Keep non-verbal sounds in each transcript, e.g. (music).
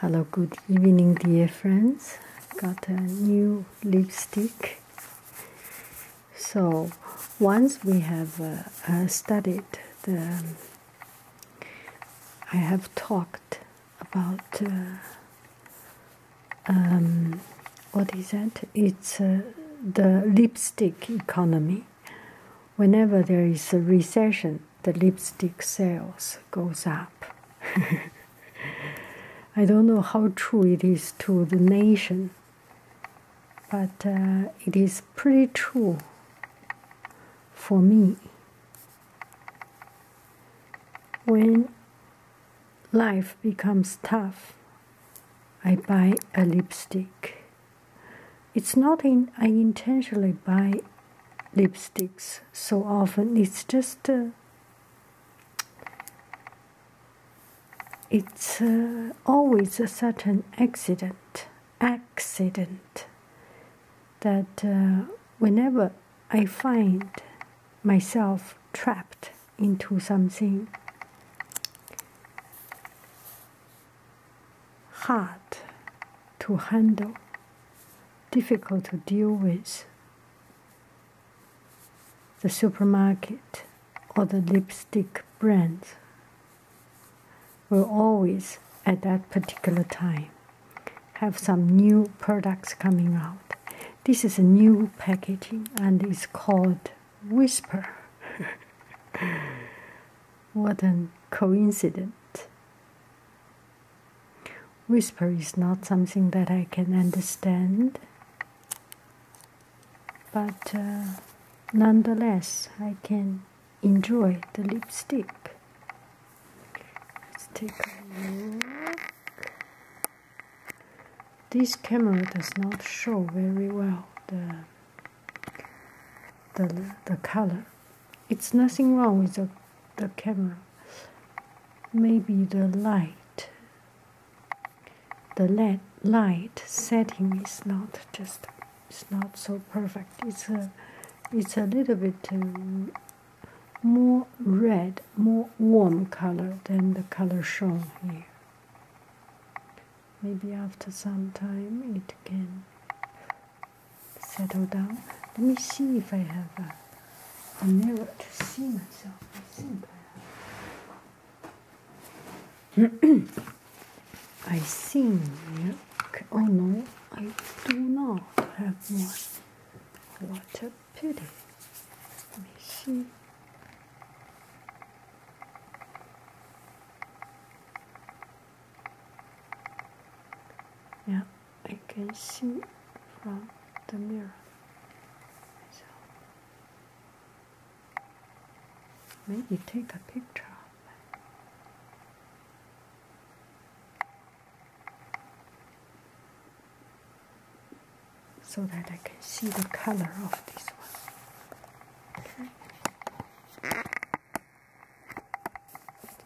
Hello, good evening, dear friends. Got a new lipstick. So, once we have uh, uh, studied the, um, I have talked about uh, um, what is that? It's the lipstick economy. Whenever there is a recession, the lipstick sales goes up. (laughs) I don't know how true it is to the nation, but uh, it is pretty true for me. When life becomes tough, I buy a lipstick it's not in, I intentionally buy lipsticks so often. It's just uh, it's uh, always a certain accident, accident that uh, whenever I find myself trapped into something, hard to handle, difficult to deal with. The supermarket or the lipstick brands will always, at that particular time, have some new products coming out. This is a new packaging and it's called Whisper. (laughs) What a coincidence. Whisper is not something that I can understand, but uh, nonetheless, I can enjoy the lipstick. Let's take a look. This camera does not show very well the, the color. It's nothing wrong with the, the camera. Maybe the light, the light setting is not just, it's not so perfect. It's a, it's a little bit um, more red, more warm color than the color shown here. Maybe after some time it can settle down. Let me see if I have a, mirror to see myself. I think I have. (clears throat) I think. Oh no, I do not have one. What a pity. Let me see. Yeah, I can see from the mirror. maybe take a picture So that I can see the color of this one.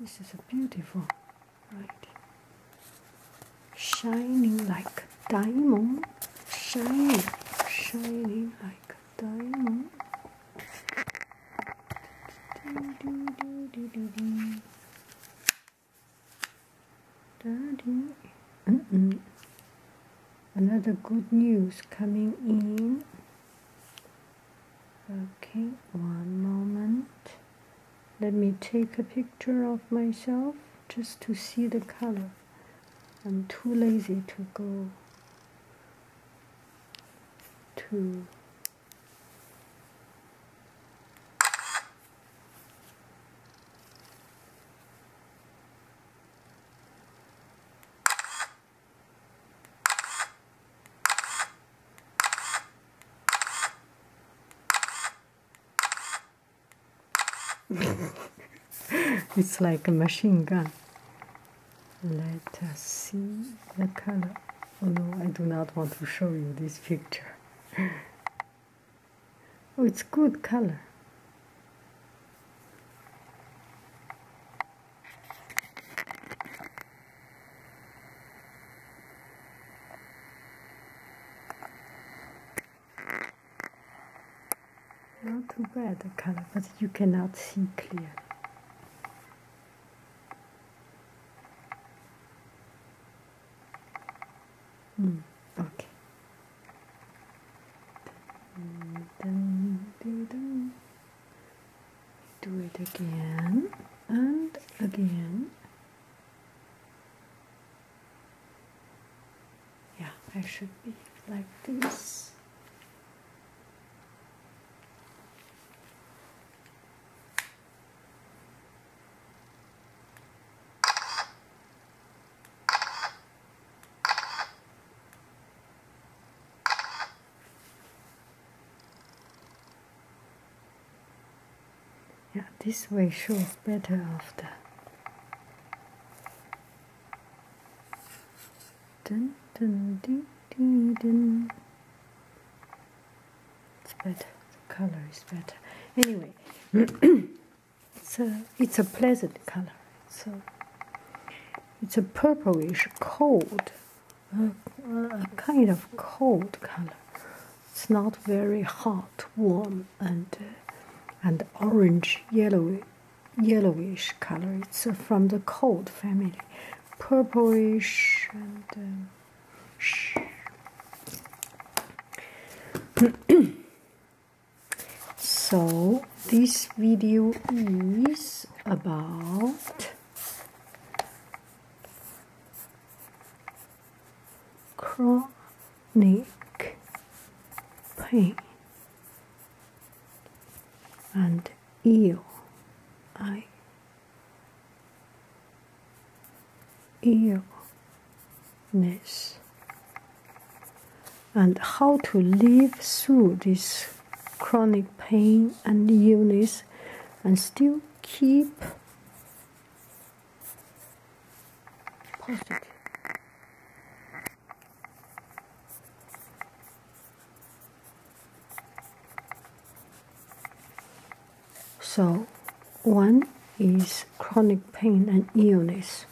This is a beautiful, right? Shining like diamond, shining, shining like diamond. Do, do, do, do, do, do. Mm -mm. Another good news coming in. Okay, one moment. Let me take a picture of myself just to see the color. I'm too lazy to go to (laughs) it's like a machine gun. Let us see the color. Oh no, I do not want to show you this picture. (laughs) oh, it's good color. Not too bad the color, but you cannot see clearly. Mm, okay do it again and again yeah I should be like this yeah, this way shows better after. Dun, dun, ding, ding, dun. It's better. The color is better. Anyway, it's (clears throat) a it's a pleasant color. So it's a purplish, cold a, kind of cold color. It's not very hot, warm, and uh, and orange yellowish, yellowish color. It's uh, from the cold family, purplish and. Uh, (clears throat) so this video is about chronic pain and ill I illness and how to live through this chronic pain and illness and still keep positive. So, one is chronic pain and illness.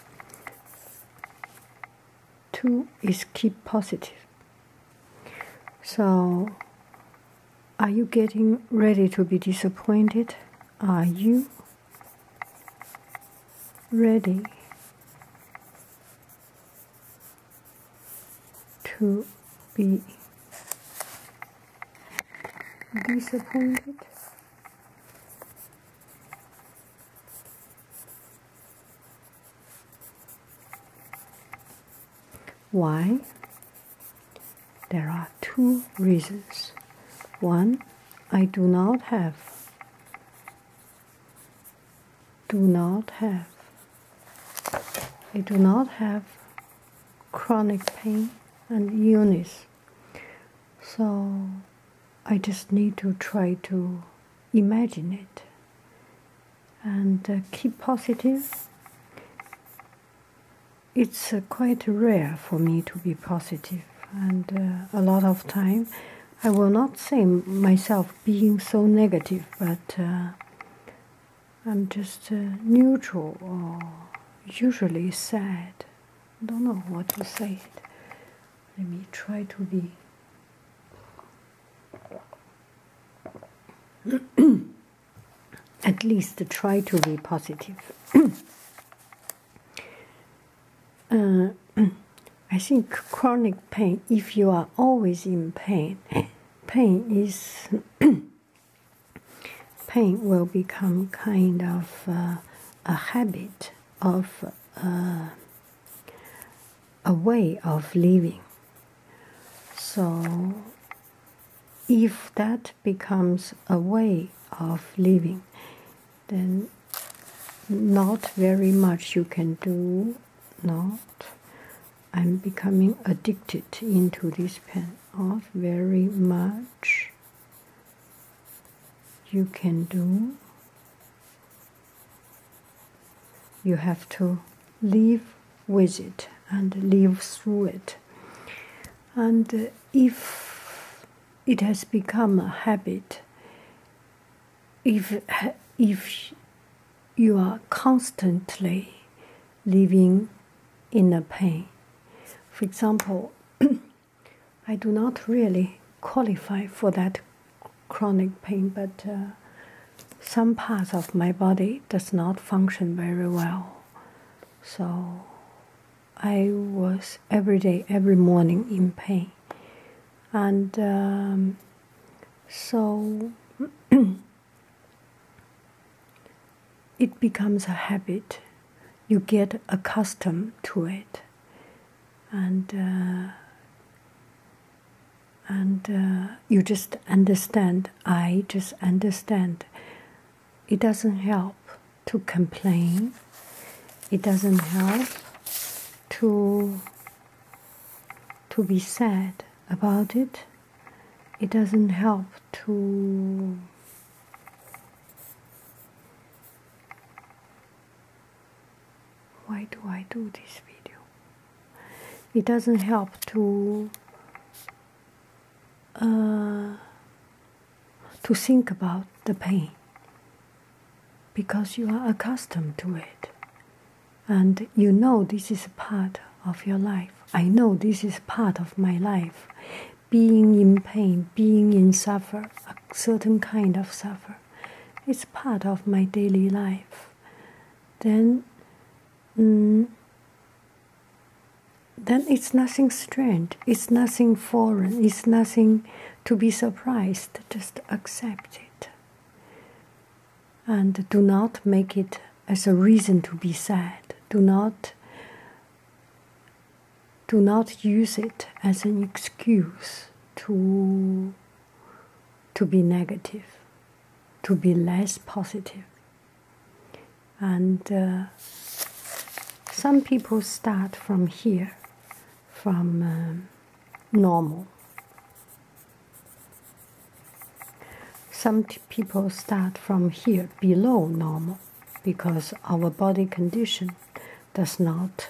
2 is keep positive. So, are you getting ready to be disappointed? Are you ready to be disappointed? Why? There are two reasons. One, I do not have, do not have, I do not have chronic pain and illness. So I just need to try to imagine it and uh, keep positive. It's uh, quite rare for me to be positive, and uh, a lot of time I will not say myself being so negative, but I'm just neutral or usually sad. Don't know what to say. Let me try to be (clears throat) At least try to be positive. (clears throat) Uh, (clears throat) I think chronic pain, if you are always in pain, pain is pain will become kind of uh, a habit of uh, a way of living. So, if that becomes a way of living, then not very much you can do. Not, I'm becoming addicted into this pen. Not very much you can do you have to live with it and live through it. And uh, if it has become a habit, if, if you are constantly living in a pain, for example, (clears throat) I do not really qualify for that chronic pain, but uh, some parts of my body does not function very well. So I was every day, every morning in pain, and um, so (clears throat) it becomes a habit. You get accustomed to it, and. Uh, and uh, you just understand. I just understand. It doesn't help to complain, it doesn't help to to be sad about it it doesn't help to why do I do this video? It doesn't help to uh, to think about the pain because you are accustomed to it and you know this is part of your life. I know this is part of my life. Being in pain, being in suffer, a certain kind of suffer, is part of my daily life then mm, then it's nothing strange, it's nothing foreign, it's nothing to be surprised. Just accept it. And do not make it as a reason to be sad. Do not do not use it as an excuse to to be negative, to be less And uh, some people start from here, from uh, normal. Some people start from here, below normal, because our body condition does not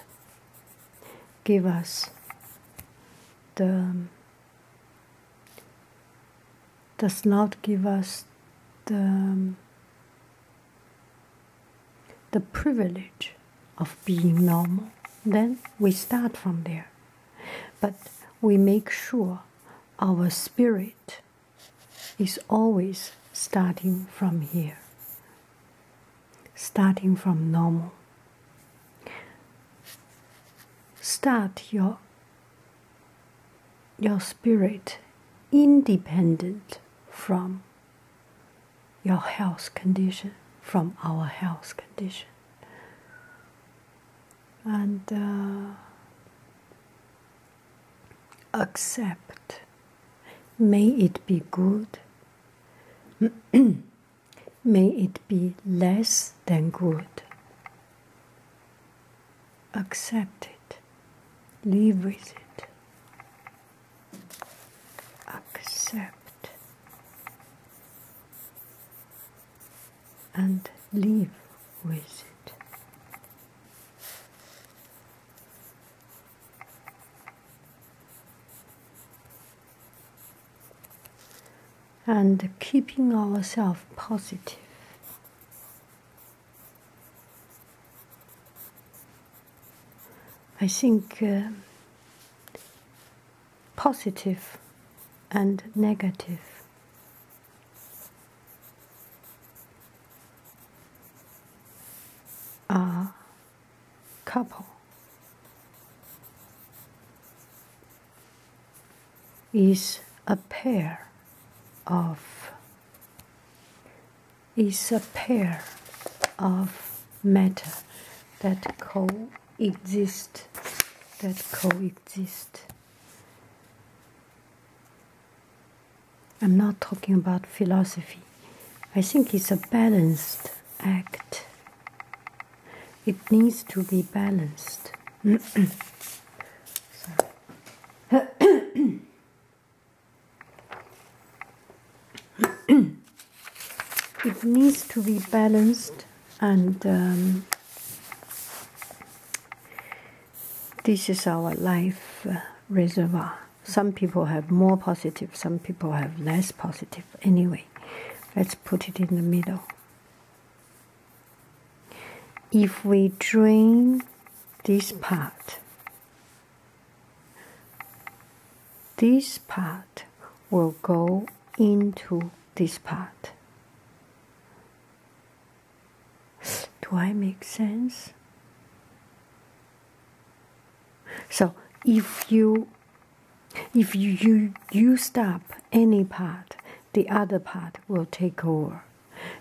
give us does not give us the, the privilege of being normal. Then we start from there. But we make sure our spirit is always starting from here starting from normal. Start your, your spirit independent from your health condition, from our health condition. And uh, accept. May it be good. (clears throat) may it be less than good. Accept it, live with it. Accept and live with it and keeping ourselves positive. I think uh, and negative are couple is a pair of is a pair of matter that coexist that coexist I'm not talking about philosophy. I think it's a balanced act it needs to be balanced. (coughs) (coughs) it needs to be balanced and um, this is our life uh, reservoir. Some people have more positive, some people have less positive. Anyway, Let's put it in the middle. If we drain this part, this part will go into this part. Do I make sense? So if you if you, you, you stop any part, the other part will take over.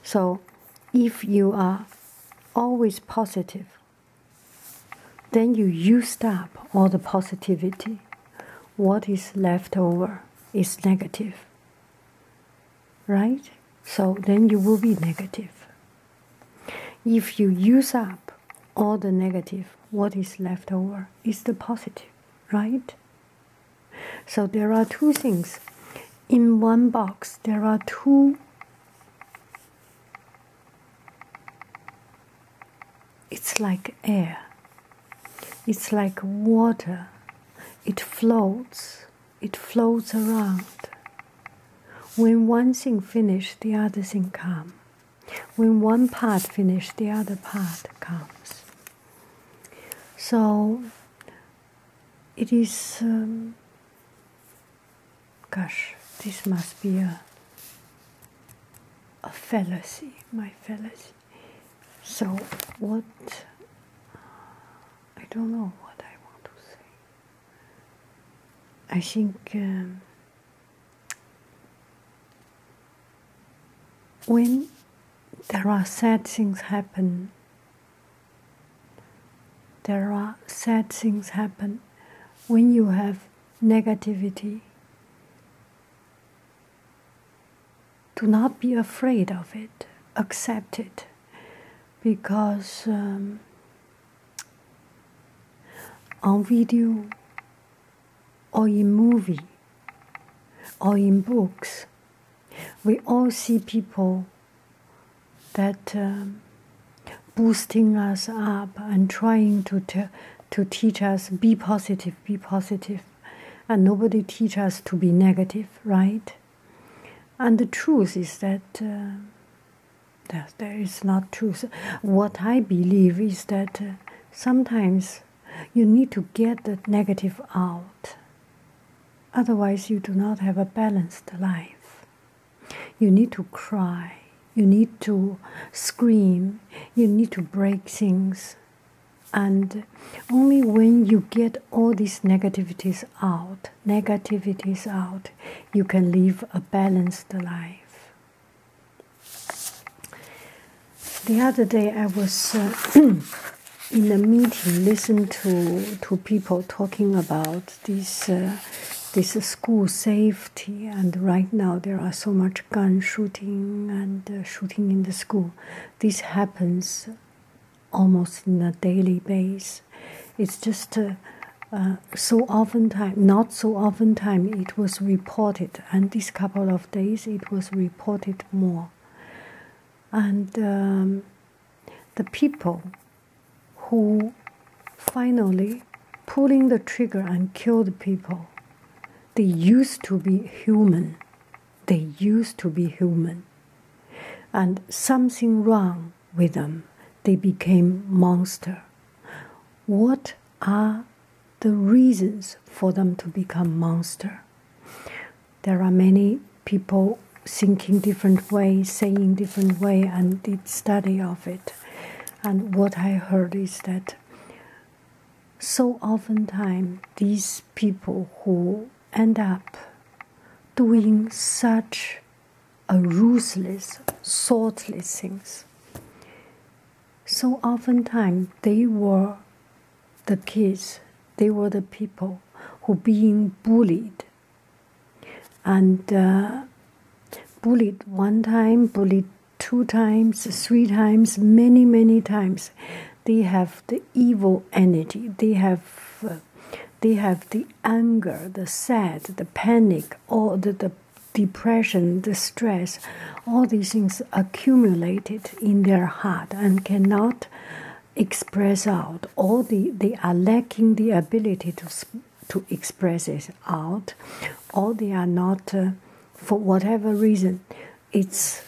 So if you are always positive, then you used up all the positivity. What is left over is negative. Right? So then you will be negative. If you use up all the negative, what is left over, is the positive, right? So there are two things. In one box, there are two. It's like air, it's like water, it floats, it floats around. When one thing finishes, the other thing comes. When one part finishes, the other part comes. So it is, um, gosh, this must be a, a fallacy, my fallacy. So what, I don't know what I want to say. I think um, when there are sad things happen, there are sad things happen when you have negativity. Do not be afraid of it, accept it, because um, on video or in movie or in books we all see people that um, boosting us up and trying to to teach us be positive be positive and nobody teach us to be negative right and the truth is that uh, there is not truth what i believe is that uh, sometimes you need to get the negative out. Otherwise, you do not have a balanced life. You need to cry. You need to scream. You need to break things. And only when you get all these negativities out, negativities out, you can live a balanced life. The other day I was uh, (clears throat) in a meeting, listening to to people talking about this uh, this school safety, and right now there are so much gun shooting and uh, shooting in the school. This happens almost on a daily base. It's just uh, so often time, not so often time, it was reported, and this couple of days it was reported more. And um, the people who finally pulling the trigger and killed people, they used to be human. They used to be human, and something wrong with them. They became monster. What are the reasons for them to become monster. There are many people thinking different way, saying different way, and did study of it. And what I heard is that so oftentimes these people who end up doing such a ruthless, thoughtless things so oftentimes they were the kids, they were the people who being bullied. And uh, bullied one time, bullied two times, three times, many, many times. They have the evil energy. They have, uh, they have the anger, the sad, the panic, all the, depression, the stress, all these things accumulated in their heart and cannot express out. Or the they are lacking the ability to to express it out, or they are not uh, for whatever reason. It's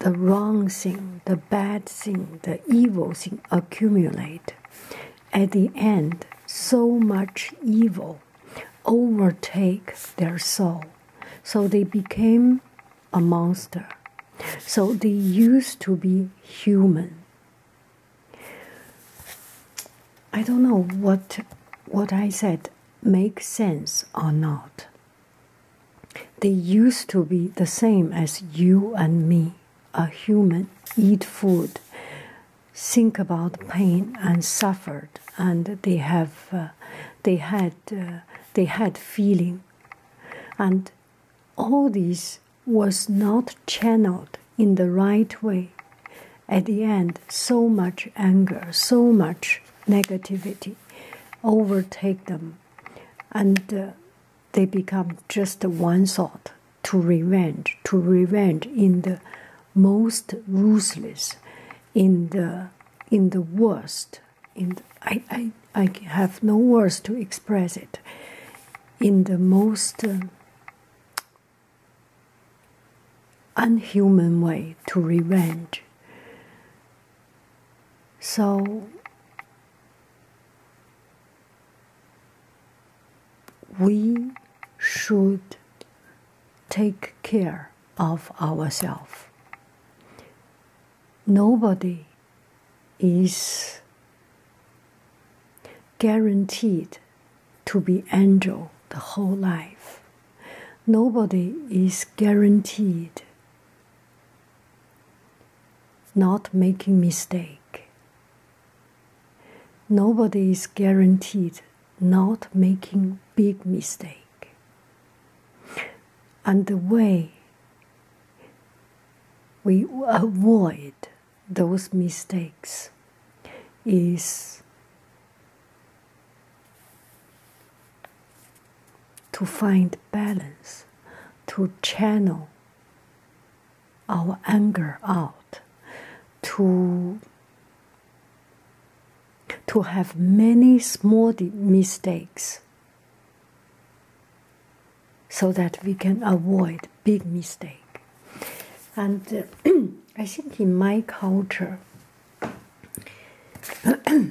the wrong thing, the bad thing, the evil thing accumulate. At the end, so much evil overtake their soul. So they became a monster. So they used to be human. I don't know what what I said makes sense or not. They used to be the same as you and me, a human, eat food, think about pain and suffered and they have uh, they had uh, they had feeling and all this was not channeled in the right way at the end so much anger so much negativity overtake them and uh, they become just one thought to revenge to revenge in the most ruthless in the in the worst in I, I I have no words to express it in the most uh, unhuman way to revenge so we should take care of ourselves. Nobody is guaranteed to be angel the whole life. Nobody is guaranteed not making mistake. Nobody is guaranteed not making big mistake. And the way we avoid those mistakes is to find balance, to channel our anger out to to have many small mistakes so that we can avoid big mistake and uh, (clears throat) i think in my culture (clears throat)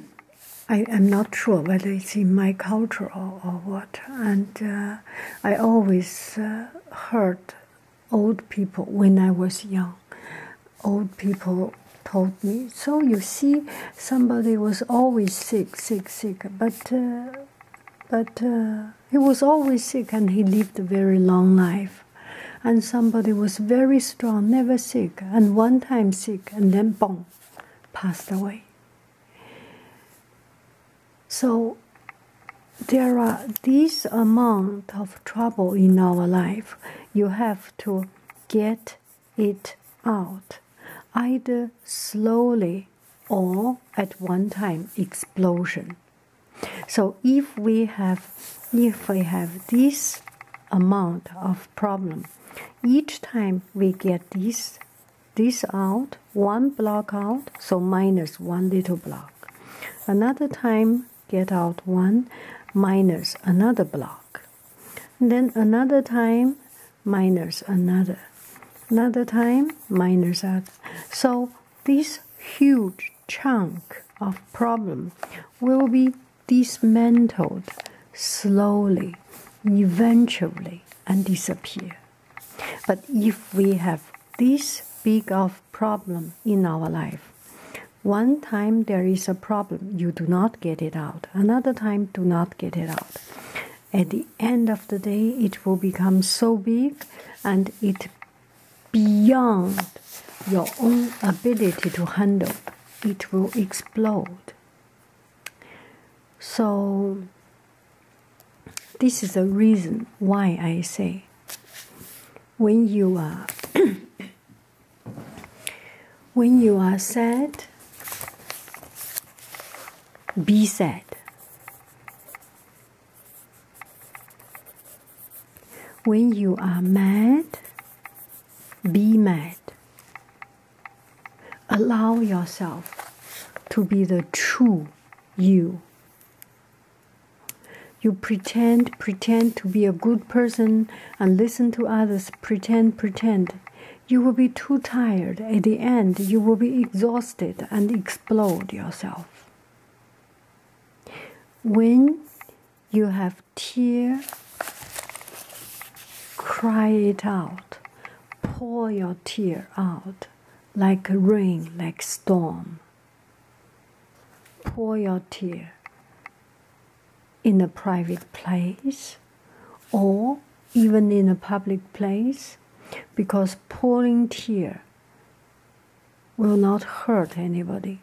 I am not sure whether it's in my culture or, or what, and uh, I always uh, heard old people when I was young. Old people told me, so you see, somebody was always sick, sick, sick, but uh, but uh, he was always sick and he lived a very long life. And somebody was very strong, never sick, and one time sick, and then boom, passed away. So there are this amount of trouble in our life. You have to get it out, either slowly or at one time explosion. So if we have if we have this amount of problem, each time we get this this out, one block out, so minus one little block. Another time get out one minus another block then another time minus another another time minus other so this huge chunk of problem will be dismantled slowly eventually and disappear but if we have this big of problem in our life. One time there is a problem, you do not get it out. Another time, do not get it out. At the end of the day, it will become so big and it beyond your own ability to handle. It will explode. So, this is a reason why I say when you are (coughs) when you are sad be sad when you are mad be mad allow yourself to be the true you you pretend, pretend to be a good person and listen to others, pretend, pretend. You will be too tired. At the end, you will be exhausted and explode yourself. When you have tear, cry it out. Pour your tear out like rain, like storm pour your tear in a private place or even in a public place because pouring tear will not hurt anybody.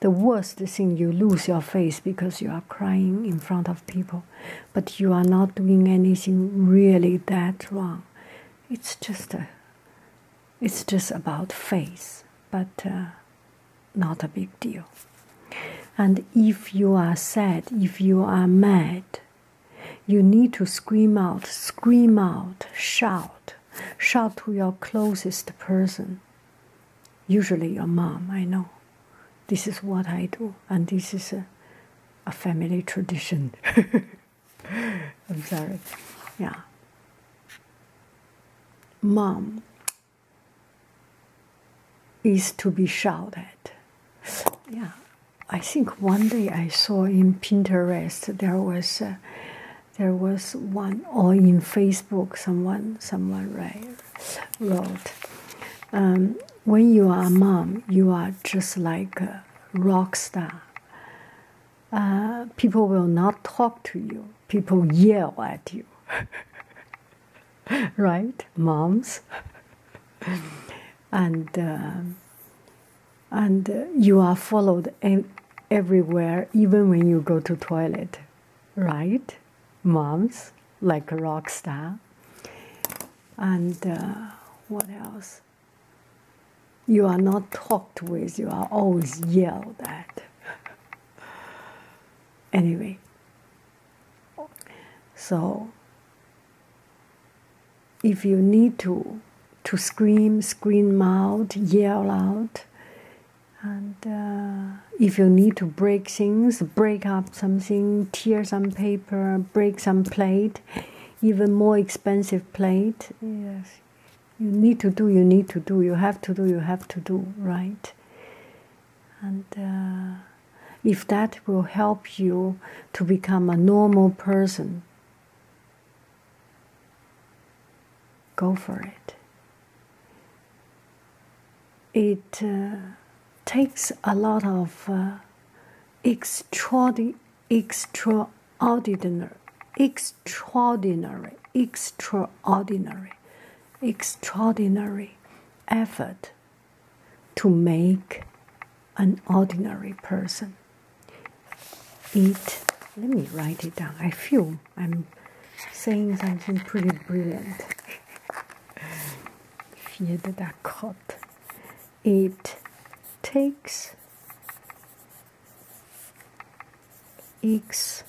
The worst thing you lose your face because you are crying in front of people, but you are not doing anything really that wrong. It's just a it's just about face, but uh, not a big deal. And if you are sad, if you are mad, you need to scream out, scream out, shout, shout to your closest person. Usually your mom, I know. This is what I do, and this is a family tradition. (laughs) I'm sorry. Yeah. Mom is to be shouted. Yeah. I think one day I saw in Pinterest there was uh, there was one or in Facebook someone someone right, wrote um, when you are a mom you are just like a rock star people will not talk to you, people yell at you. (laughs) right, moms? and uh, and you are followed everywhere, even when you go to toilet, right, moms? Like a rock star. And uh, what else? You are not talked with, you are always yelled at. (laughs) anyway, so if you need to to scream, scream out, yell out, and uh, if you need to break things, break up something, tear some paper, break some plate, even more expensive plate, yes, you need to do, you need to do, you have to do, you have to do, right? And uh, if that will help you to become a normal person, go for it. It uh, takes a lot of uh, extra extraordinary, extraordinary extraordinary, extraordinary, extraordinary effort to make an ordinary person. It, let me write it down. I feel I'm saying something pretty brilliant. It takes X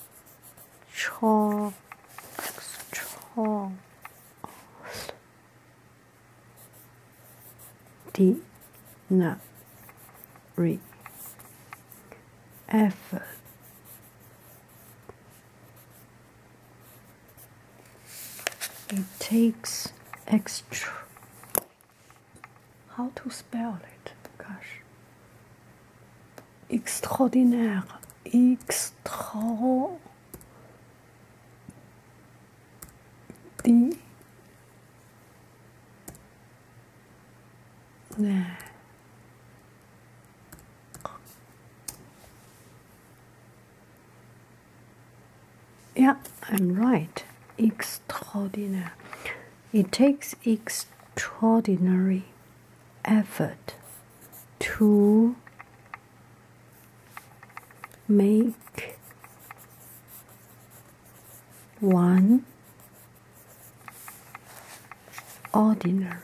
effort it takes extra how to spell it? Gosh. Extraordinaire. Extra. D. Nah. Yeah, I'm right. Extraordinaire. It takes extraordinary effort to make one ordinary